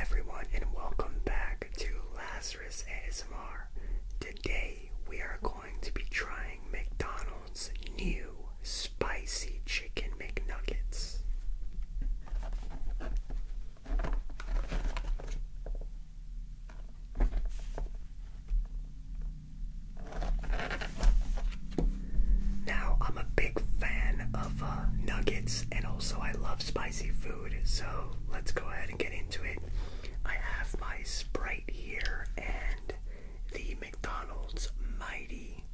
everyone, and welcome back to Lazarus ASMR. Today we are going to be trying McDonald's new spicy chicken McNuggets. Now, I'm a big fan of uh, nuggets and also I love spicy food, so let's go ahead and get into it. I have my Sprite here and the McDonald's Mighty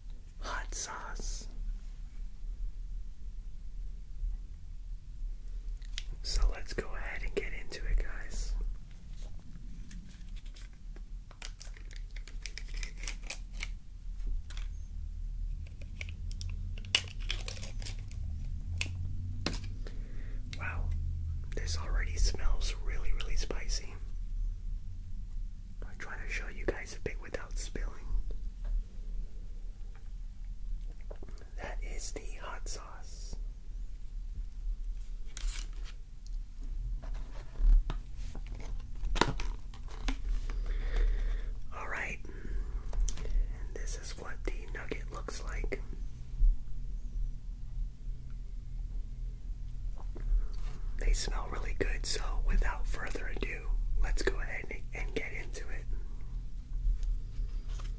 Hot Sauce. So let's go ahead and get into it, guys. Wow, this already smells really, really spicy. I'm trying to show you guys a bit without spilling. That is the hot sauce. Alright, and this is what the nugget looks like. They smell really good, so without further ado, let's go ahead and, get into it.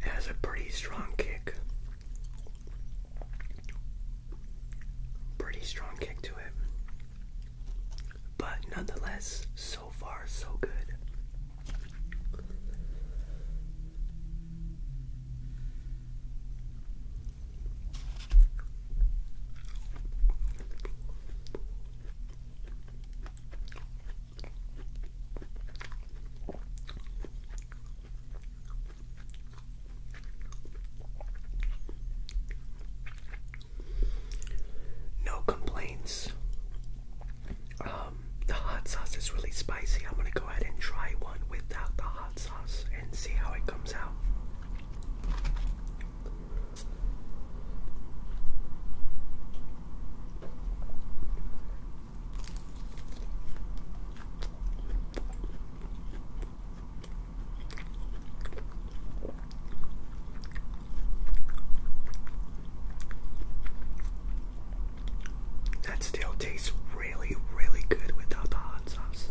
has a pretty strong kick. Pretty strong kick to it. But nonetheless, so far, so good. No complaints. Um, the hot sauce is really spicy. I'm gonna go ahead and try one without the hot sauce and see how it comes out. That still tastes really, really good without the hot sauce.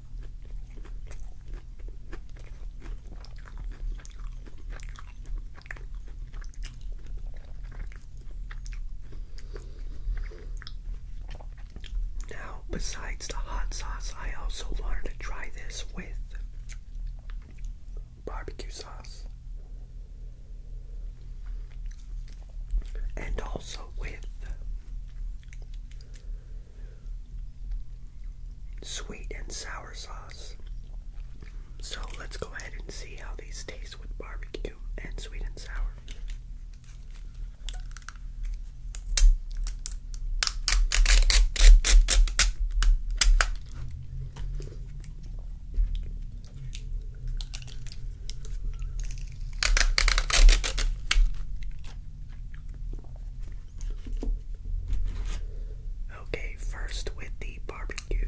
Now, besides the hot sauce, I also wanted to try this with barbecue sauce and also with sweet and sour sauce. So let's go ahead and see how these taste with barbecue and sweet and sour. Okay, first with the barbecue.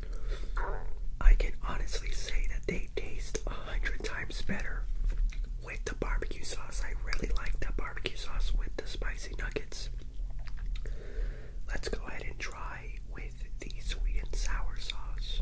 I can honestly say that they taste a hundred times better with the barbecue sauce. I really like the barbecue sauce with the spicy nuggets. Let's go ahead and try with the sweet and sour sauce.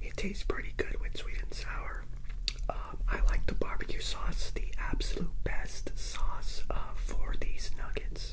It tastes pretty good with sweet and sour. Um, I like the barbecue sauce, the absolute best sauce uh, for these nuggets.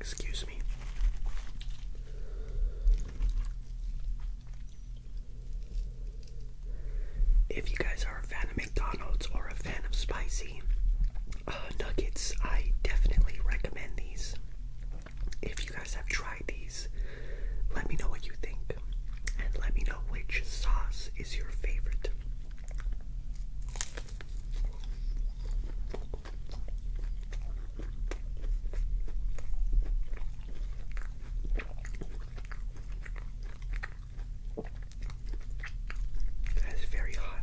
Excuse me. If you guys are a fan of McDonald's or a fan of spicy uh, nuggets, I definitely recommend these. If you guys have tried these, let me know what you think and let me know which sauce is your favorite. That is very hot.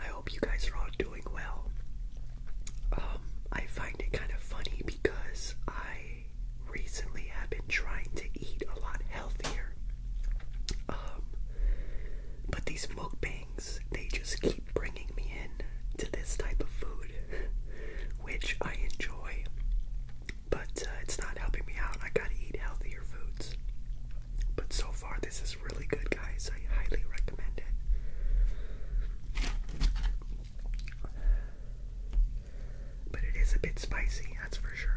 I hope you guys are all doing well. Um, I find it kind of funny because I recently have been trying to eat a lot healthier. Um, but these mukbangs, they just keep bringing me in to this type of food, which I enjoy but uh, it's not helping me out. I gotta eat healthier foods. But so far, this is really good, guys. I highly recommend it. But it is a bit spicy, that's for sure.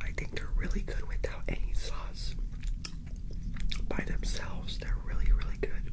I think they're really good without any sauce. By themselves, they're really, really good.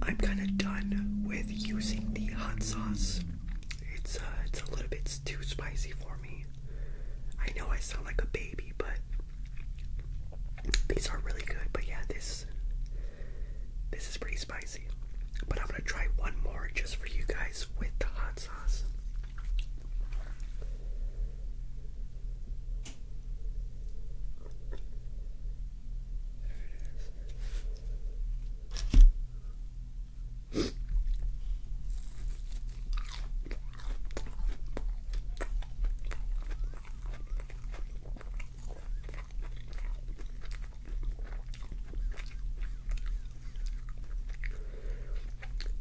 I'm kind of done with using the hot sauce. It's uh, it's a little bit too spicy for me. I know I sound like a baby, but these are really good. But yeah, this this. is pretty spicy, but I'm gonna try one more just for you guys with the hot sauce.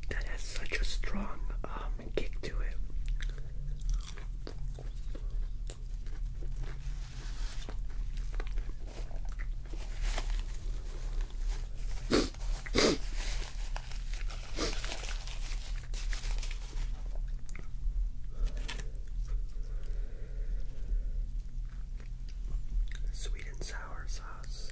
That has such a strong um, kick to it. Sweet and sour sauce.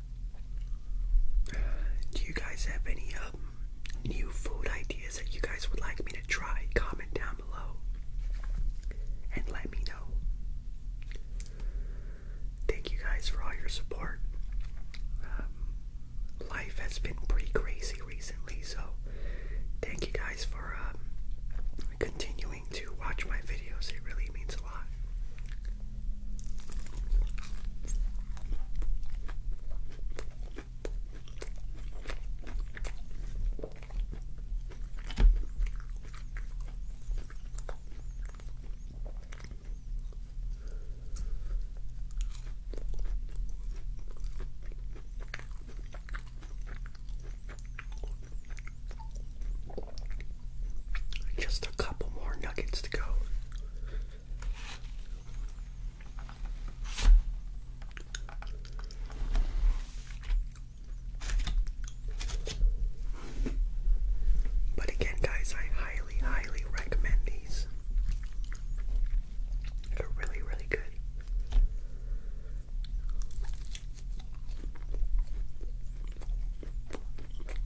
Do you guys have any um, new food ideas that you guys would like me to try? Comment down below and let me know. Thank you guys for all your support. Um, life has been pretty crazy recently, so thank you guys for um, continuing to watch my videos. It really means a lot. Just a couple more nuggets to go. But again, guys, I highly, highly recommend these. They're really, really good.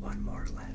One more left.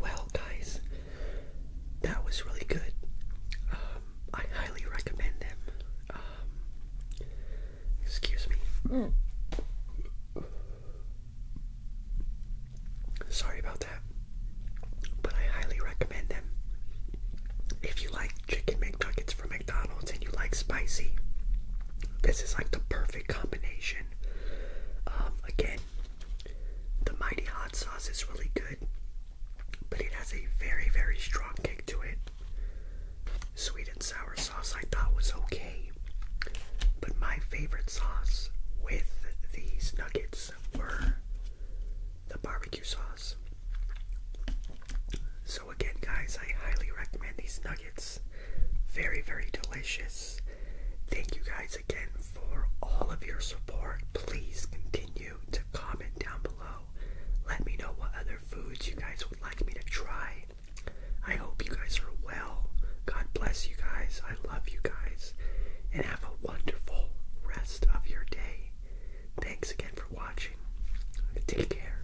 Well, guys, that was really good. Uh, I highly recommend them. Um, excuse me. Mm. Sorry about that. But I highly recommend them. If you like chicken McNuggets from McDonald's and you like spicy, this is like the perfect combination. Um, again, the mighty hot sauce is really good but it has a very, very strong kick to it. Sweet and sour sauce I thought was okay, but my favorite sauce with these nuggets were the barbecue sauce. So, again, guys, I highly recommend these nuggets. Very, very delicious. Thank you guys again for all of your support. Please continue to comment down below. Let me know what other foods you guys would like me to try. I hope you guys are well. God bless you guys. I love you guys. And have a wonderful rest of your day. Thanks again for watching. Take care.